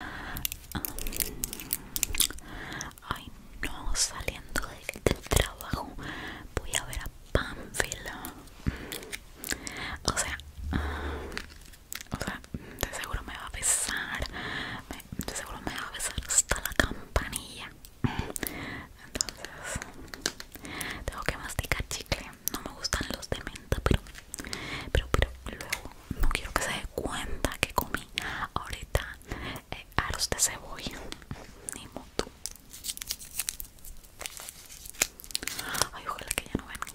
Ah, ay no, saliendo del, trabajo voy a ver a Pamphila. O sea, ah, o sea, de seguro me va a besar. de seguro me va a besar hasta la campanilla. Entonces, tengo que masticar chicle. No me gustan los de menta, pero pero, pero luego no quiero que se dé cuenta que comí ahorita eh, arroz aros de cebolla ni modo ay ojalá que ya no vengan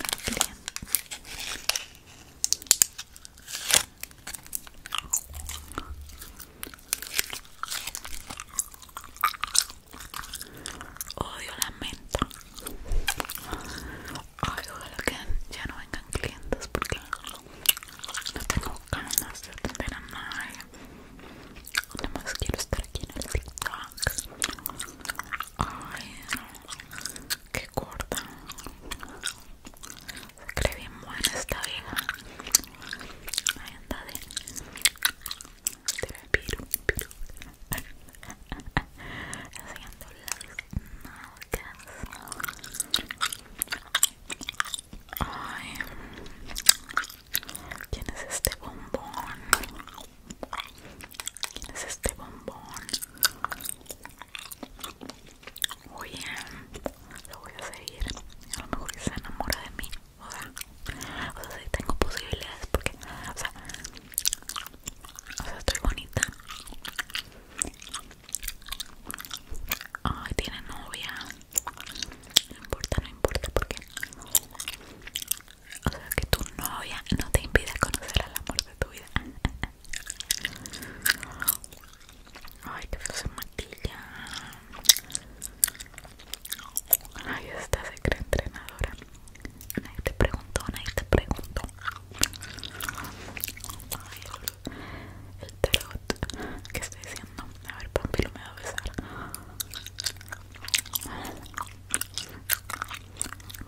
Odio la menta Ay, ojalá que ya no vengan clientes porque no tengo ganas de atender a nadie. Además más quiero estar aquí en el TikTok. Ay, que corta. Se cree bien buena esta vieja. Ahí anda de. de piru, piru. Haciendo las ¿quién es este bombón? ¿Quién es este bombón? Oye, lo voy a seguir. A lo mejor se enamora de mí. O sea, o si tengo posibilidades porque, o sea, o sea, estoy bonita. Ay, tiene novia. No importa, no importa porque. O sea, que tu novia no te impide conocer al amor de tu vida. Ay, que se maquilla. Ay, esta se cree entrenadora. Nadie te pregunto, nadie te pregunto Ay, el, el tarot que estoy diciendo. A ver, lo me va a besar.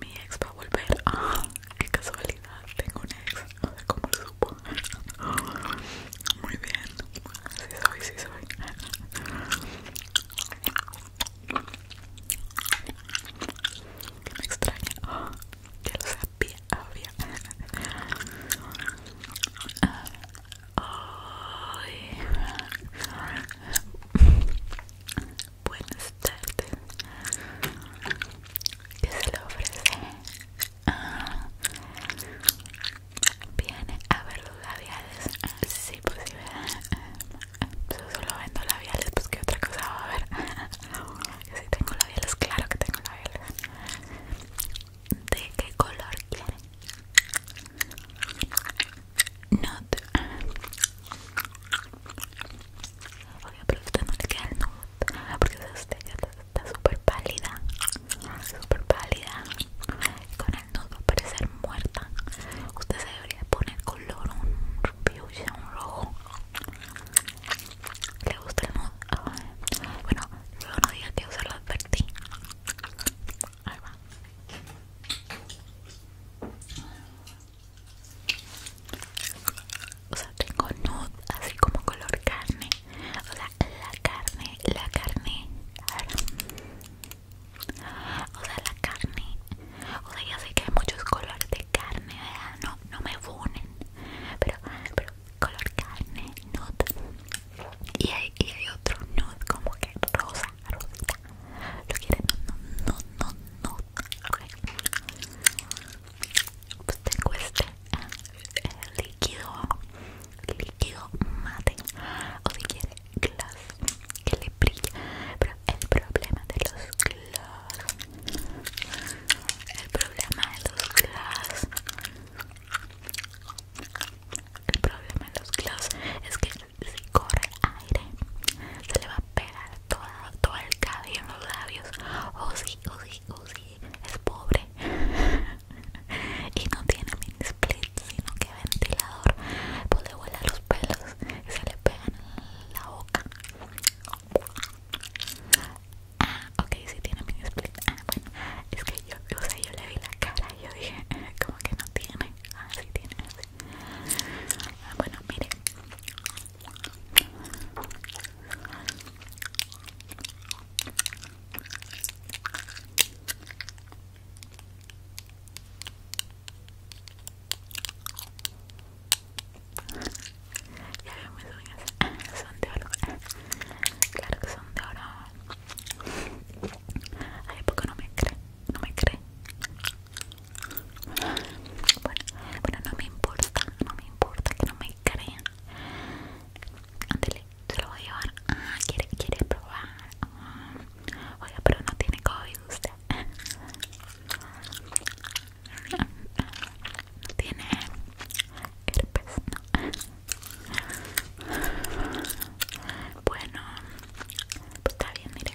Mi ex va a volver. Ah, qué casualidad. Tengo un ex. No sé cómo lo supo. Muy bien. Sí soy, sí soy. Que extraña que lo sabía, obvio. Buenas tardes. ¿Qué se le ofrece? Ah. Viene a ver los labiales. Ah, si, pues si Yo ah, Solo vendo labiales, pues qué otra cosa va a ver si sí tengo labiales, claro que tengo labiales. ¿De qué color quieren? Nude. Oye, pero usted no le queda el nude. Porque usted está súper pálida. Súper pálida. Con el nude va a parecer muerta. Usted se debería poner color, un fuchsia, un rojo. ¿Le gusta el nude? Ah, bueno, luego no diga que usarlo se lo advertí. O sea, tengo nude así como color carne. O sea, la carne, la carne. A ver. O sea, la carne o sea, ya sé que hay muchos colores de carne, ¿verdad? No, no me funen. Pero, pero color carne, nude. Y hay, y hay otro nude como que rosa, rosita. Lo quieren, no, no, no, no, nude. Ok. Pues tengo este eh, líquido, líquido mate. O si quiere, glass que le brilla. Pero el problema de los glass el problema de los glass el problema de los glass es que si corre aire se le va a pegar todo, el cabello en los labios o si, sí, o si, sí, o si sí. es pobre y no tiene mini split sino que ventilador pues le huele los pelos y se le pegan en la boca Ah, ok, si tiene mini split. Ah, bueno, es que yo, o sea, yo le vi la cara y yo dije, eh, como que no tiene. Ah, sí tiene. Ah, bueno, miren. Ya veo mis uñas, son de oro. Claro que son de oro. Ay, poco no me cree, no me cree. Bueno, bueno, no me importa, no me importa que no me crean. Ándale, se lo voy a llevar. Ah, quiere, quiere probar. Ah, oye pero no tiene COVID usted tiene herpes bueno pues está bien mire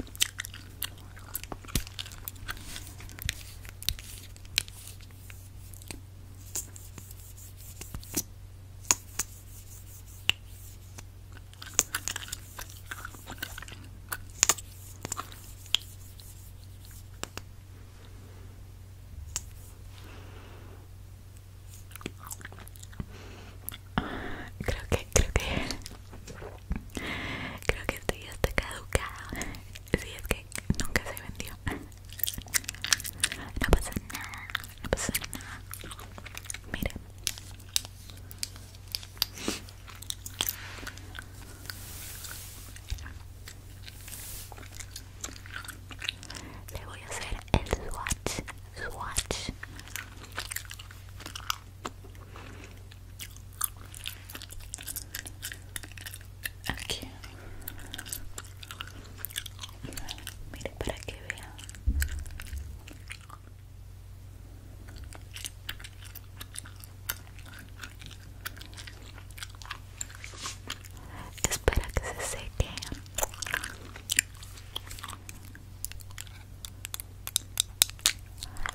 Creo que, creo que Creo que este ya está caducado Si es que nunca se vendió No pasa nada No pasa nada Mira. Le voy a hacer el swatch, swatch. Aquí. Mire para que vean. Espera que se seque.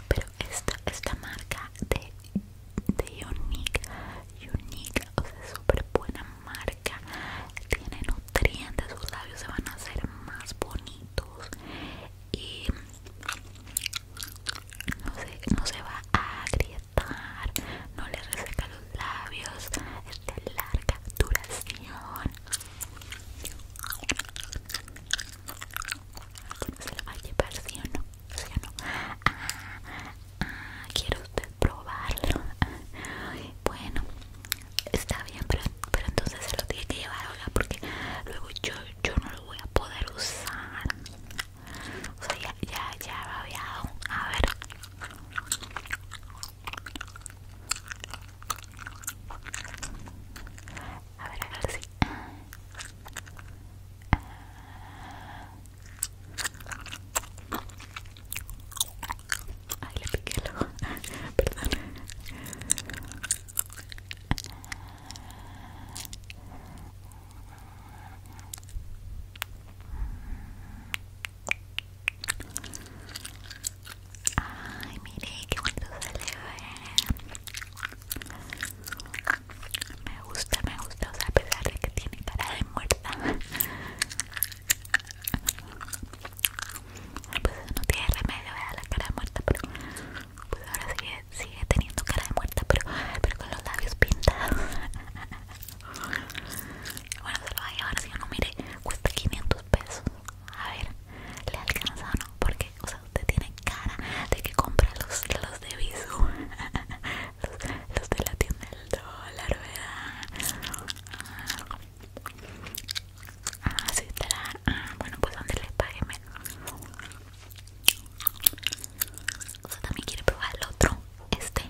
Pero esta, esta marca de, de Unique, Unique, o sea, súper buena marca. Tiene nutrientes, sus labios se van a hacer más bonitos. Y no se, va a agrietar, no le reseca los labios, es de larga duración. se lo va a llevar, sí o no? ¿Sí o no? Ah, ah usted probarlo? Bueno, está bien, pero, entonces se lo tiene que llevar, ahora porque luego yo, yo lo voy a poder usar o sea ya ya ya babeado a ver a ver a ver si Ay, le piqué el ojo. Perdón. Ay, mire qué bonito se le ve. Me gusta, me gusta, o sea, a pesar de que tiene cara de muerta. Pues no tiene remedio, vea la cara de muerta, pero pues ahora sigue, sigue teniendo cara de muerta, pero, pero con los labios pintados. Bueno, se lo va a llevar si yo no mire. Cuesta 500 pesos. A ver, ¿le alcanza o no? Porque, o sea, usted tiene cara de que compra los, los de Visu. Los, los de la tienda del dólar, ¿verdad? Ah, sí, está ah, bueno, pues donde le pague menos. O también quiero probar el otro, este.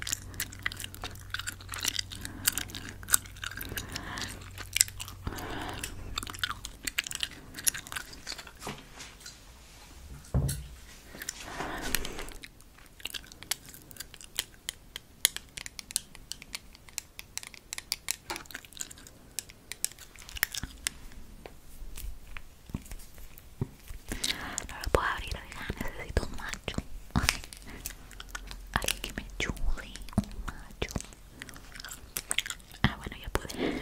No lo puedo abrir, necesito un macho. Alguien que me ayude, un macho. Ah, bueno, ya pude.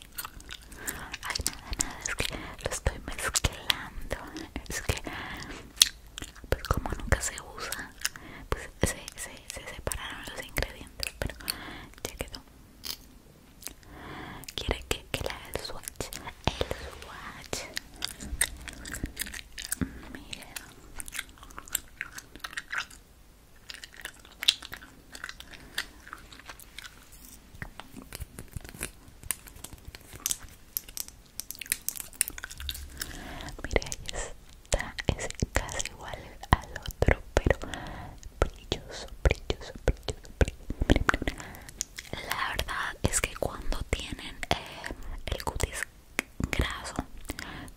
Ay, nada, nada, es que lo estoy mezclando. Es que, pues como nunca se usa, pues se, separaron los ingredientes, pero ya quedó. Quiere que, que le haga el swatch. El swatch. Mira. Mira, ahí está, es casi igual al otro, pero brilloso, brilloso, brilloso, brilloso. La verdad es que cuando tienen eh, el cutis graso,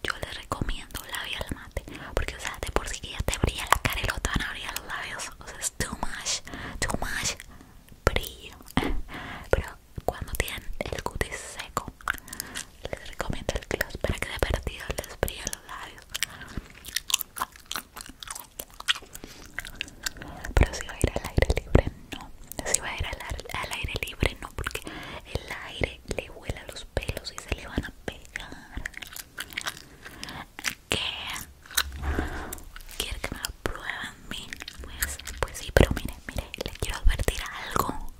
yo les recomiendo labial mate, porque o sea, de por sí que ya te brilla la cara y lo van a abrir los labios o sea es too much, too much brillo. Pero cuando tienen el cutis seco, les recomiendo el gloss para que de perdido les brille los labios. Pero si va a ir al aire libre, no. Si va a ir al, al aire libre, no, porque el aire le a los pelos y se le van a pegar que quiere que me lo prueben mí pues, pues sí, pero mire, mire, le quiero advertir algo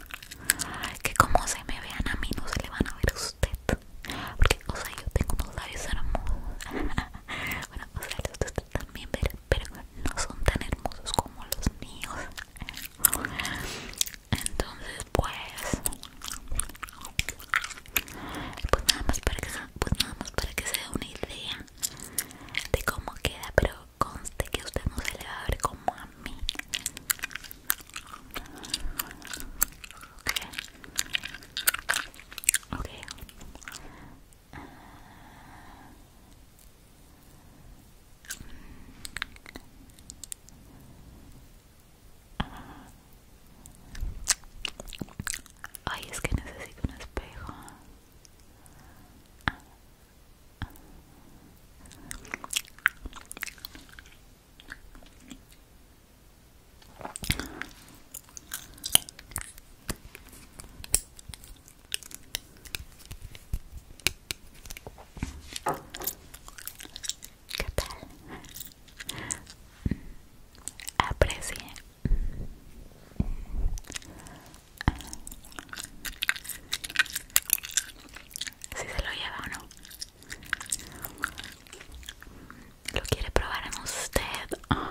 que como se me vean a mí no se le van a ver a usted porque, o sea, yo tengo unos labios hermosos bueno, o sea, los de también, ver pero no son tan hermosos como los míos entonces pues pues, pues nada más para que, se dé una idea de cómo queda, pero conste que usted no se le va a ver como a mí. Ok. okay. Ah. Ay, es que necesito un espejo. ¿Qué tal? Aprecie si se lo lleva o no. ¿Lo quiere probar en usted? Bueno,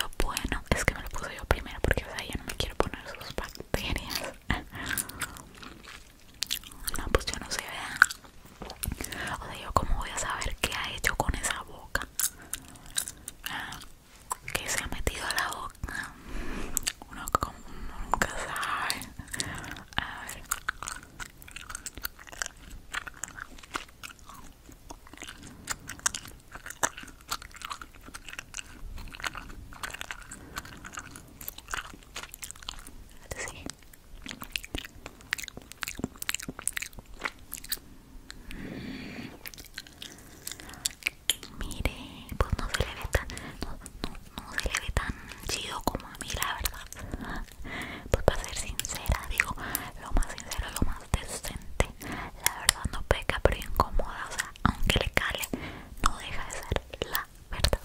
lo bueno es que me lo puse yo primero porque o no me quiero poner sus bacterias. No, pues yo no sé, ¿verdad? O sea, yo como voy a saber qué ha hecho con esa boca. ¿Qué ah, que se ha metido a la boca. Uno como nunca sabe. A ver. Mire, pues no se le ve tan, no, no, se le ve tan chido como a mí, la verdad. Pues para ser sincera, digo, lo más sincero, lo más decente. La verdad no peca, pero incomoda, o sea, aunque le cale, no deja de ser la verdad.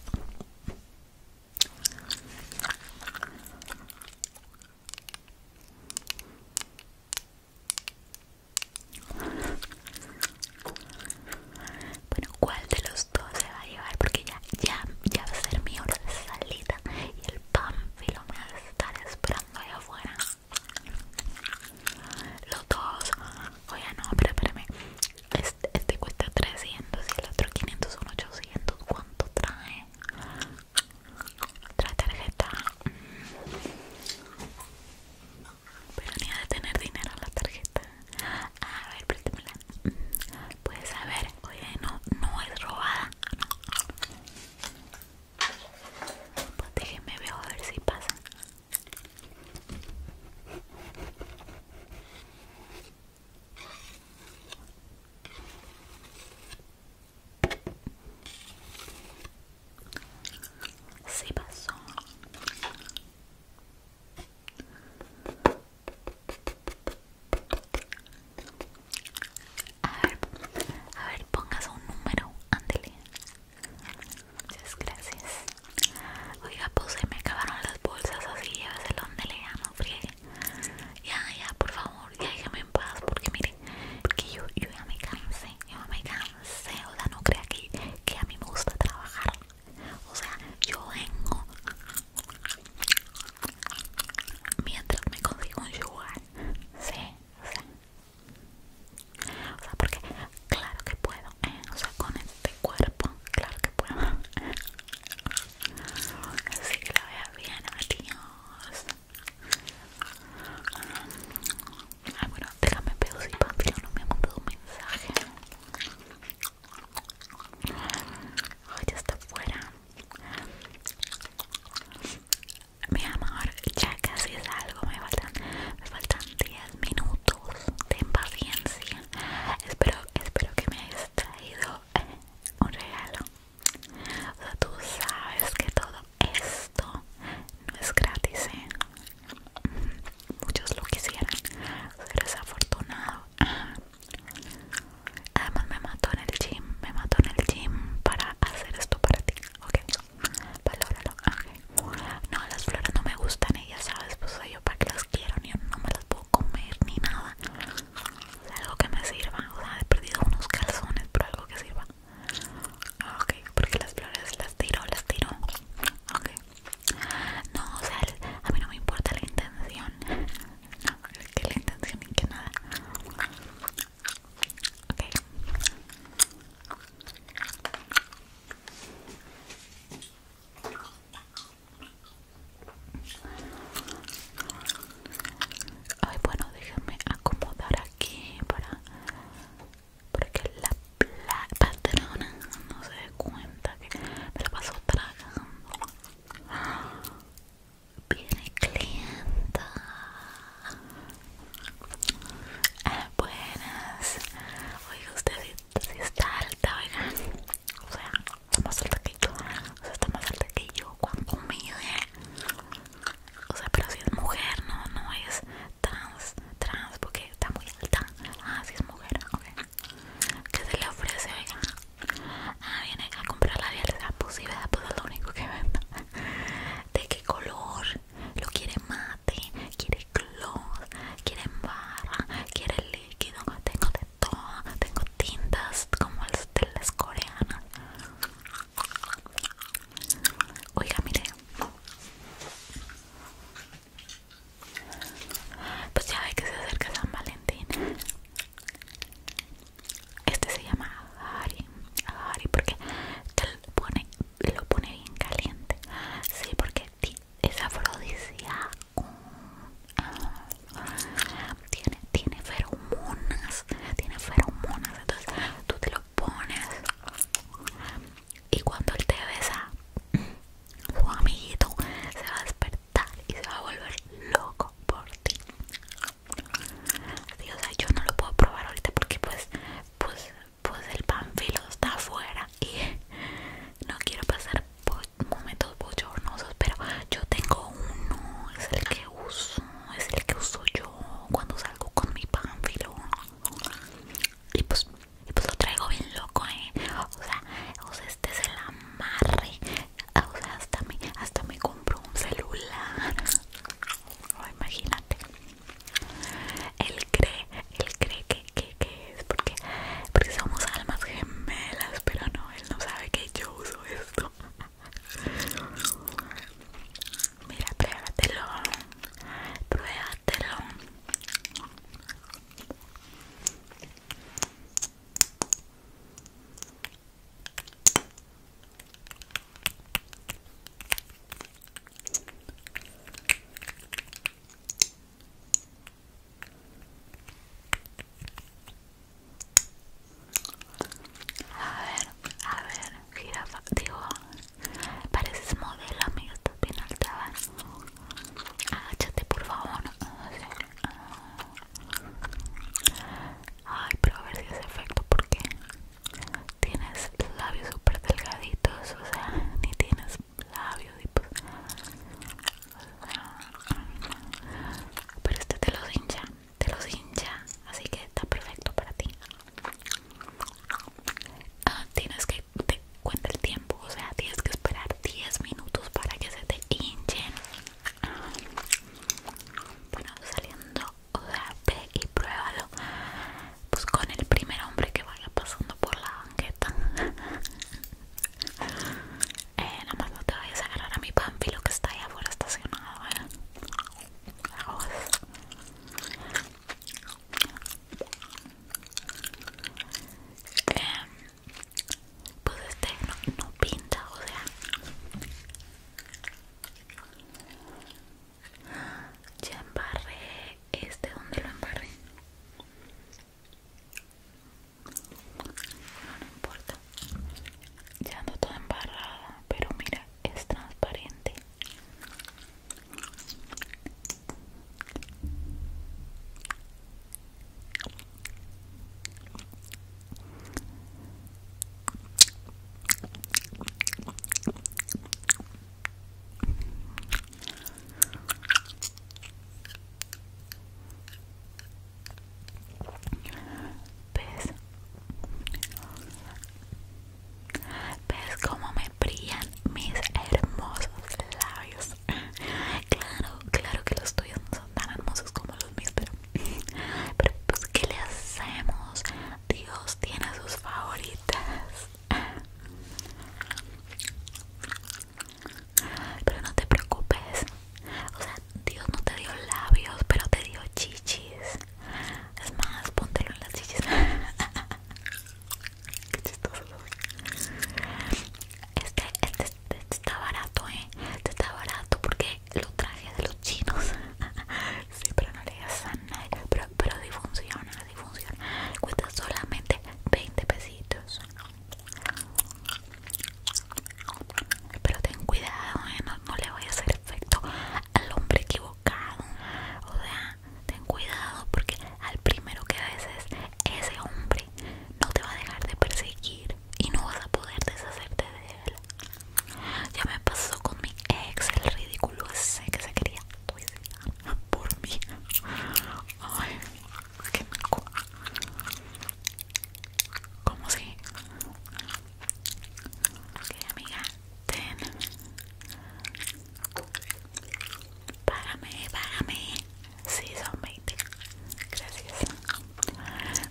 Bueno, ¿cuál de los dos se va a llevar? Porque ya, ya, ya va a ser mi hora de salida y el panfilo me va a estar esperando allá afuera. Los dos, oye, no, pero espérame. Este, este cuesta 300 y el otro 500 son 800. ¿Cuánto trae? otra tarjeta pero ni ha de tener dinero la tarjeta a ver Pues puedes ver, oye no no es robada pues déjeme veo a ver si pasa pasó. A ver, a pongas un número, ándele. Muchas gracias. Oiga, pues me acabaron las bolsas así, el donde le no friegue. Ya, ya, por favor, déjame en paz Porque miren, porque yo, ya me cansé Yo me cansé, o sea, no crea que, a mí me gusta trabajar O sea, yo vengo Mientras me consigo un lugar Sí, o sea porque claro que puedo, ¿eh? o sea, con este cuerpo, claro que puedo. Así que la veas bien, adiós. Ah bueno, déjame pedir si Pablo no me ha mandado un mensaje. Ay, ya está fuera. Mi amor, ya casi es algo. Me faltan, me faltan 10 minutos. de impaciencia. Espero, espero que me hayas traído un regalo. O sea, tú sabes que todo esto no es gratis, ¿eh? Muchos lo quisieran. Eres afortunado. Ah. Además me mató en el gym. Me mató en el gym para hacer esto para ti. Ok. Valóralo. Okay. No, las flores no me gustan. Ellas ¿eh? sabes, pues soy yo para que las quiero. Ni no me las puedo comer ni nada. algo que me sirva. O sea, he perdido unos calzones, pero algo que sirva. Ah, ok, porque las flores las tiro, las tiro. Ok. No, o sea, a mí no me importa la intención. No, que la intención ni que nada. Ok. Ay, bueno, déjenme acomodar aquí para, que la, patrona no se dé cuenta que me la paso tragando. Viene clienta. Ah, buenas. Oiga, usted si está alta, oiga O sea, más alta que yo, o sea, está más alta que yo, cuando mide, o sea, pero si es mujer, no, no es trans, trans, porque está muy alta, ah, si es mujer, ok, ¿qué se le ofrece, Ah, viene a comprar la realidad, ah, pues ¿verdad? pues es lo único que ¿de qué color? ¿Lo quiere mate? ¿Quiere gloss? ¿Quiere barra? ¿Quiere líquido? Tengo de tengo tintas como las de las coreanas. Oiga, mire. Pues ya ve que se acerca San Valentín. Este se llama Agari. Agari porque lo pone, lo pone bien caliente. Sí, porque es afrodisíaco tiene, tiene feromonas, tiene feromonas, entonces tú te lo pones y cuando él te besa, su amiguito se va a despertar y se va a volver loco por ti. yo no lo puedo probar ahorita porque pues, pues, pues el panfilo está afuera y no quiero pasar pues, momentos pues, bochornosos, pero yo tengo uno, es el que uso, es el que uso yo cuando salgo con mi pánfilo. Y pues, y pues lo traigo bien loco, eh. O sea, este es el amarre. Ah, o sea, hasta me, hasta me compro un celular. Oh, imagínate. Él cree, él cree que, que, es porque, porque somos almas gemelas, pero no no sabe que yo uso esto. Mira, pruébatelo. Pruébatelo. A ver, a ver, jirafa, digo, pareces modelo, amiga, estás bien alta. Agáchate, por favor. Ay, pero a ver si es efecto porque tienes labios súper delgaditos, o sea, ni tienes labios pues, pero este te los hincha, te los hincha, así que está perfecto para ti. Ah, tienes que te cuenta el tiempo, o sea, tienes que esperar 10 minutos para que se te hinchen. bueno, saliendo, o sea, y pruébalo. Pues con el primer hombre que vaya pasando por la banqueta. Eh, nada más no te vayas a agarrar a mi lo que está ahí afuera estacionado, eh. em, pues este no, no pinta, o sea. Ya embarré este, ¿dónde lo embarré? no importa ya no toda embarrada pero mira es transparente ¿Ves? ¿Ves cómo me brillan mis hermosos labios? Claro, claro que los tuyos no son tan hermosos como los míos, pero, pues ¿qué le hacemos? Dios tiene sus favoritas. Pero no te preocupes. O sea, Dios no te dio labios, pero te dio chichis. Es más, ponte en las chichis. Qué chistoso. Este, este, este, está barato, eh. Este está barato porque lo traje de los chinos. sí, pero no le digas a nadie. Pero, pero funciona, funciona. Cuesta solamente 20 pesitos. Pero ten cuidado, eh, no, le voy a hacer efecto al hombre equivocado. O sea, ten cuidado porque al primero que veces ese hombre no te va a dejar de perseguir y no vas a poder deshacerte de él. Ya me pasó con mi ex, el ridículo ese que se quería suicidar por mí. Ay, ¿Cómo sí? Ok, amiga, ten. Págame, págame. Sí, son 20. Gracias.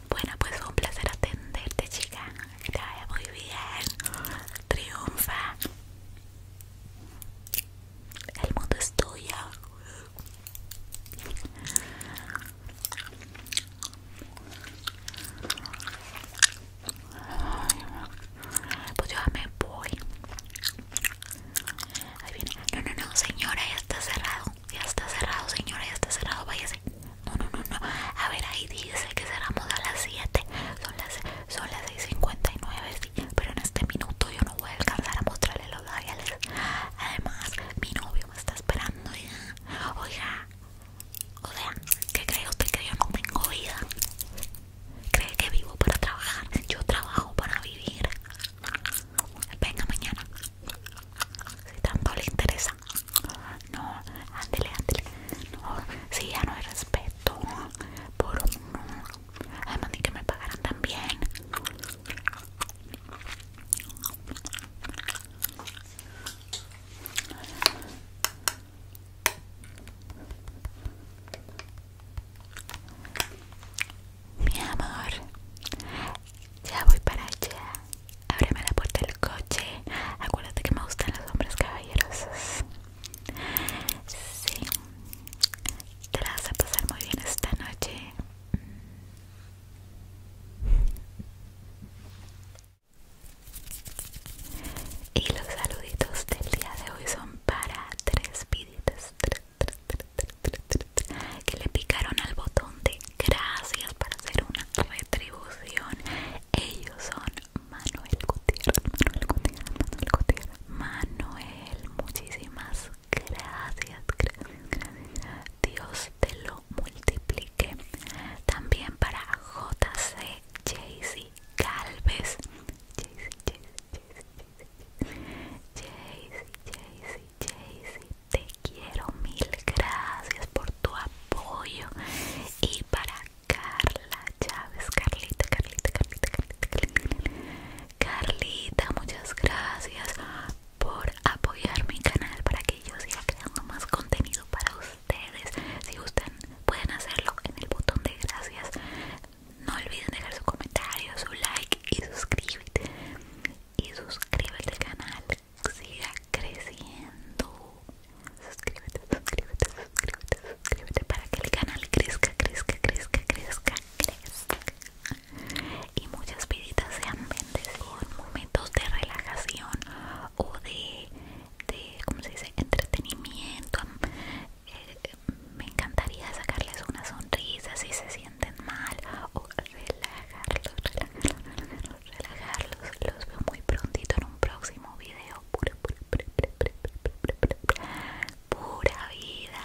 Bueno, pues fue un placer atenderte, chica. Que te muy bien. Triunfa. El mundo es tuyo. Pues yo me voy. No, no, no, señora, ya está cerrado. Ya está cerrado, señora, ya está cerrado. Váyase. No, no, no, no. A ver, ahí dice que cerramos a las 7. Son las, 6.59, Pero en este minuto yo no voy a alcanzar a mostrarle los labiales. Además, mi novio me está esperando ya. Oiga, o sea, ¿qué cree usted que yo no tengo vida? ¿Cree que vivo para trabajar? Yo trabajo para vivir. Venga mañana. Si tanto le interesa. No, ándale, ándale. No, si ya no hay respeto por uno. Además ni que me pagaran también. Mi amor, ya voy para allá. Ábreme la puerta del coche. Acuérdate que me gustan los hombres caballerosos. Sí, te vas a pasar muy bien esta noche. Y los saluditos del día de hoy son para tres viditas que le picaron al botón de gracias para hacer una retribución. Ellos son Manuel Gutiérrez, Manuel Gutiérrez, Manuel Gutiérrez. Manuel, muchísimas gracias, gracias, gracias. Dios te lo multiplique. También para JC Jaycee Galvez. Jaycee, Jaycee, Jaycee, Jaycee, te quiero mil gracias por tu apoyo. Y para Carla Chávez, Carlita, Carlita, Carlita, Carlita, Carlita, Carlita, muchas gracias por apoyar mi canal para que yo siga creando más contenido para ustedes. Si gustan, pueden hacerlo en el botón de gracias. No olviden dejar su comentario, su like y suscríbete. Y suscríbete al canal. Siga creciendo. Suscríbete, suscríbete, suscríbete, suscríbete para que el canal crezca, crezca, crezca, crezca, crezca y muchas visitas sean son momentos de relajación o de, se dice?, entretenimiento. Eh, me encantaría sacarles una sonrisa si se sienten mal o relajarlos, relajarlos, Los veo muy prontito en un próximo video. pura vida.